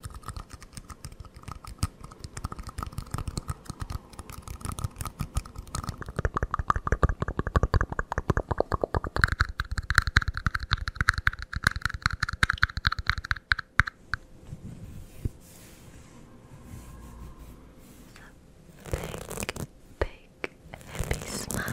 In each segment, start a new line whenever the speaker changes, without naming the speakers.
Big, big, happy smile.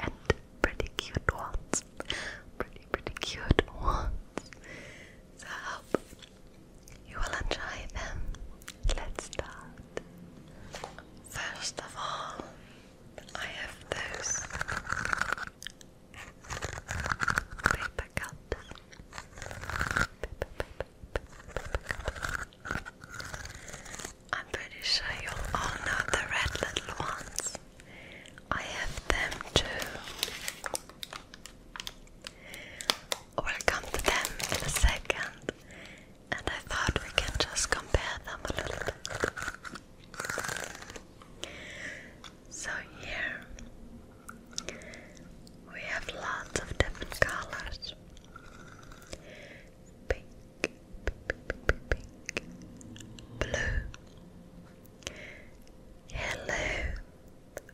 and pretty cute ones. Pretty, pretty cute ones. So you will enjoy them. Let's start. First of all, I have those paper cups. I'm pretty sure you all know the red little ones. I have them too. We'll come them in second, and I thought we can just compare them a little bit. So, here we have lots of different colors blue, yellow,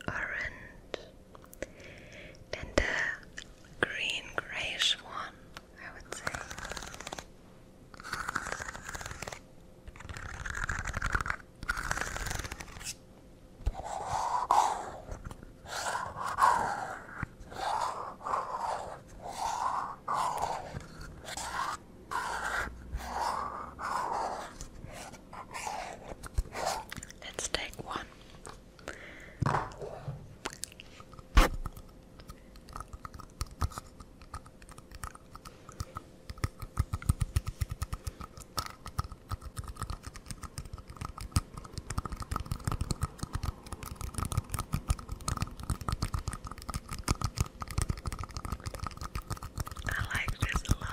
orange, and a green grayish one, I would say. Let's take one. I like this a lot.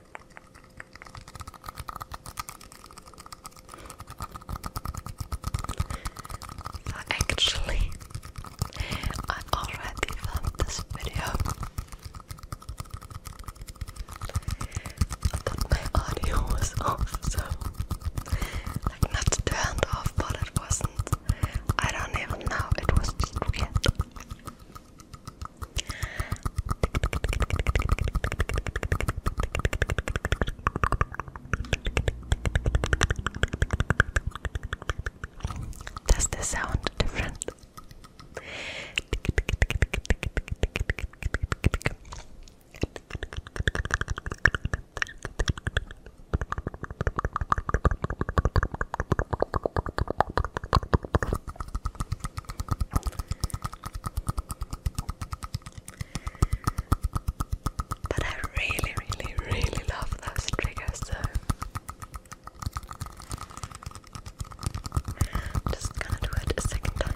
So actually, I already filmed this video, but my audio was off, so like not turned off, but it wasn't. I don't even know. It was just does this sound different? But I really, really, really love those triggers. So just gonna do it a second time.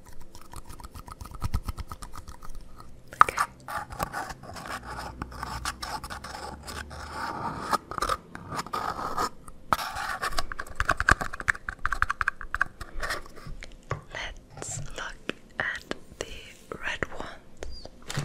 Let's look at the red ones.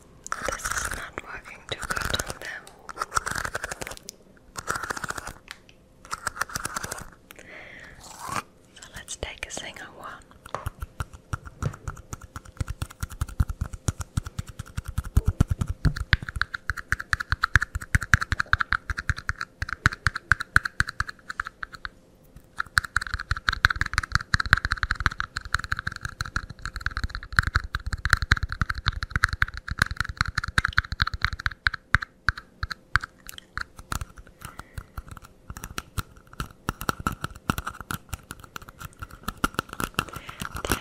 This is not working too good on them. So let's take a single one. They're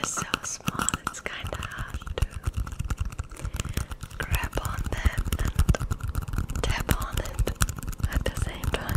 so small, it's kind of hard to grab on them and tap on it at the same time.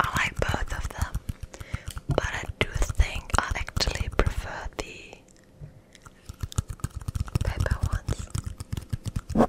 I like both of them, but I do think I actually prefer the paper ones.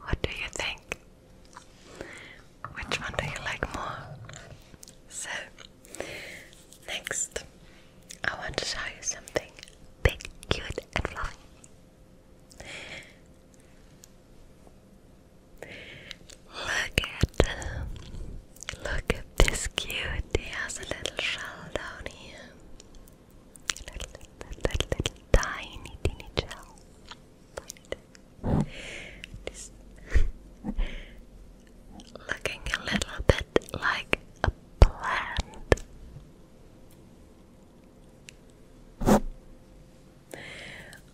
What do you think? Which one do you like more? So, next, I want to show you something big, cute, and fluffy. Look at, look at this cutie. He has a little shell down here little, little, little, little tiny, teeny gel. looking a little bit like a plant.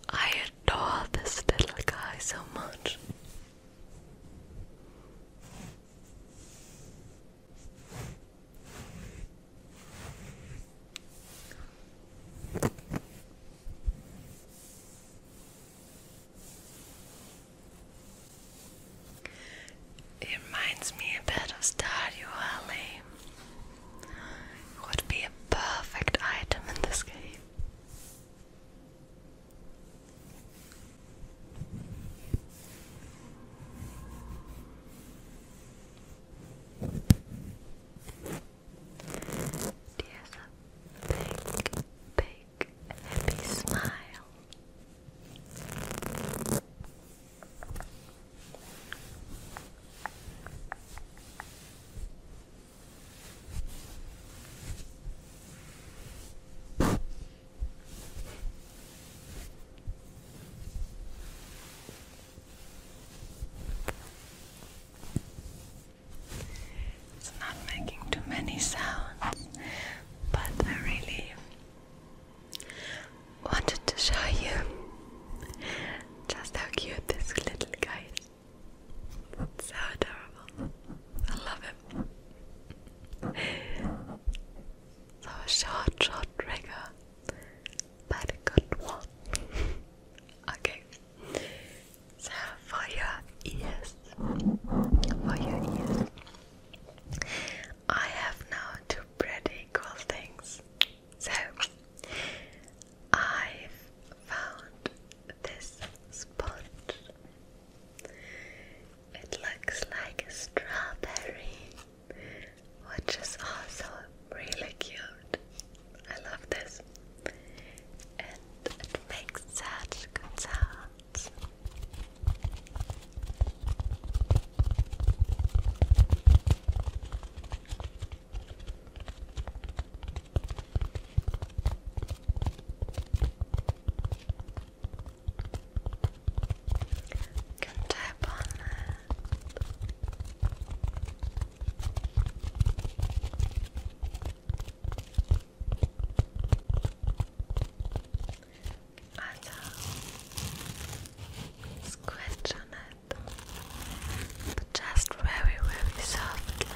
I adore this little guy so much. It reminds me a bit of Stardew Valley. would be a perfect item in this game. There's a big, big, happy smile. It's not making too many sounds, but I really wanted to show you just how cute this little guy is. so adorable. I love him. So short, short trigger but a good one. okay. So for your ears, for your ears, I have now two pretty cool things. So I've found this sponge. It looks like a strawberry which is also really cute. I love this, and it makes such good sounds. You can tap on that. Also, squish on it, but just very, very softly.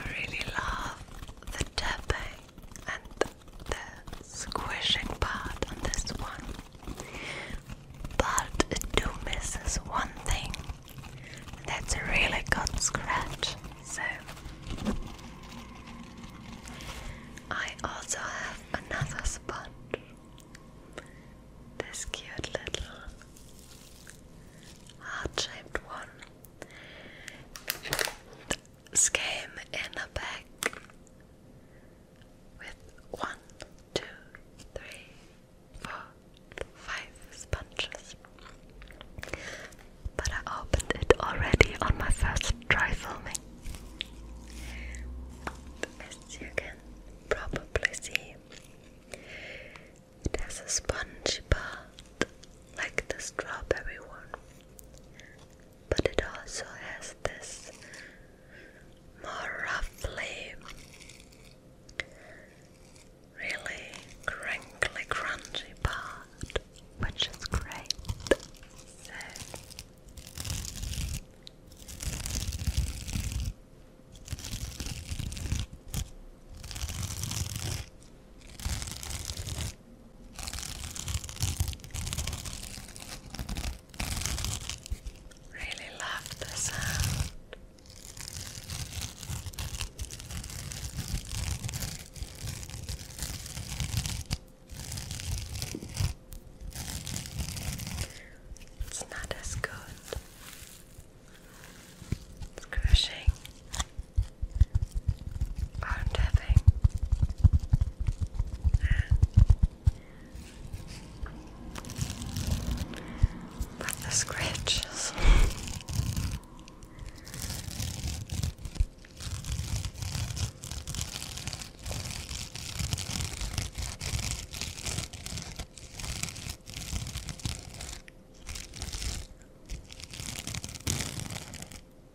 I really love the tapping and the squishing part on this one. But it do misses one thing. That's a really good scratch. So I also have another sponge. This cute little heart-shaped one scheme in a bag with one, two, three, four, five sponges. But I opened it already on my first try filming. As you can probably see, it has a spongy part like the strawberry one but it also has this more roughly, really crinkly, crunchy part, which is great. Really love the sound. It's not as good. It's crushing. I'm tapping. But the scratches.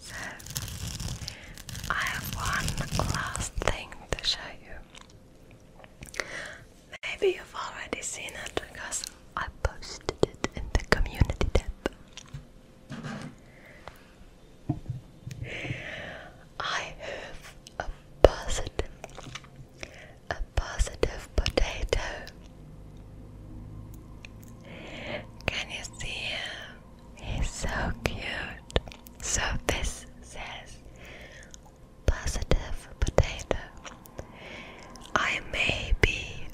So, I have one last thing to show you. Maybe you've already seen it because I posted it in the community tab. I have a positive, a positive potato. Can you see him? He's so cute. So this says positive potato. I may be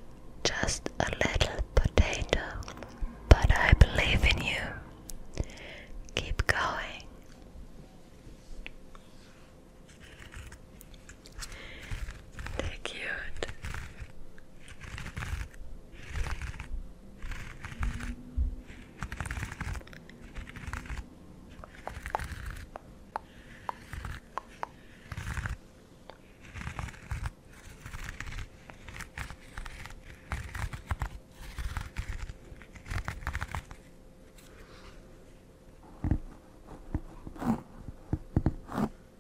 just a little potato, but I believe in you. Keep going. They're cute.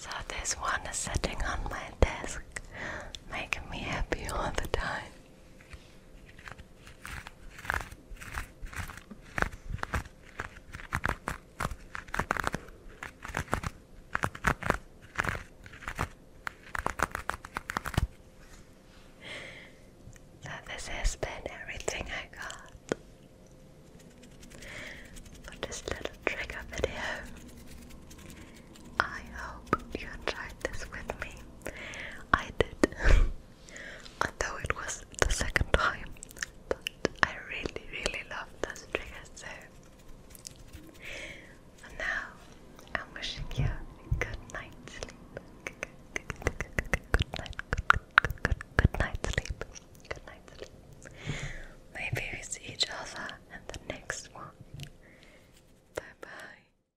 So, this one is sitting on my desk, making me happy all the time. So this has been everything I got for this little trigger video. I hope you enjoyed this with me. I did. Although it was the second time. But I really, really love this trigger, so and now I'm wishing you good night's sleep. Good, good, good, good, good, good, good night, good, good, good, good night sleep. Good night sleep. Maybe see each other in the next one. Bye bye.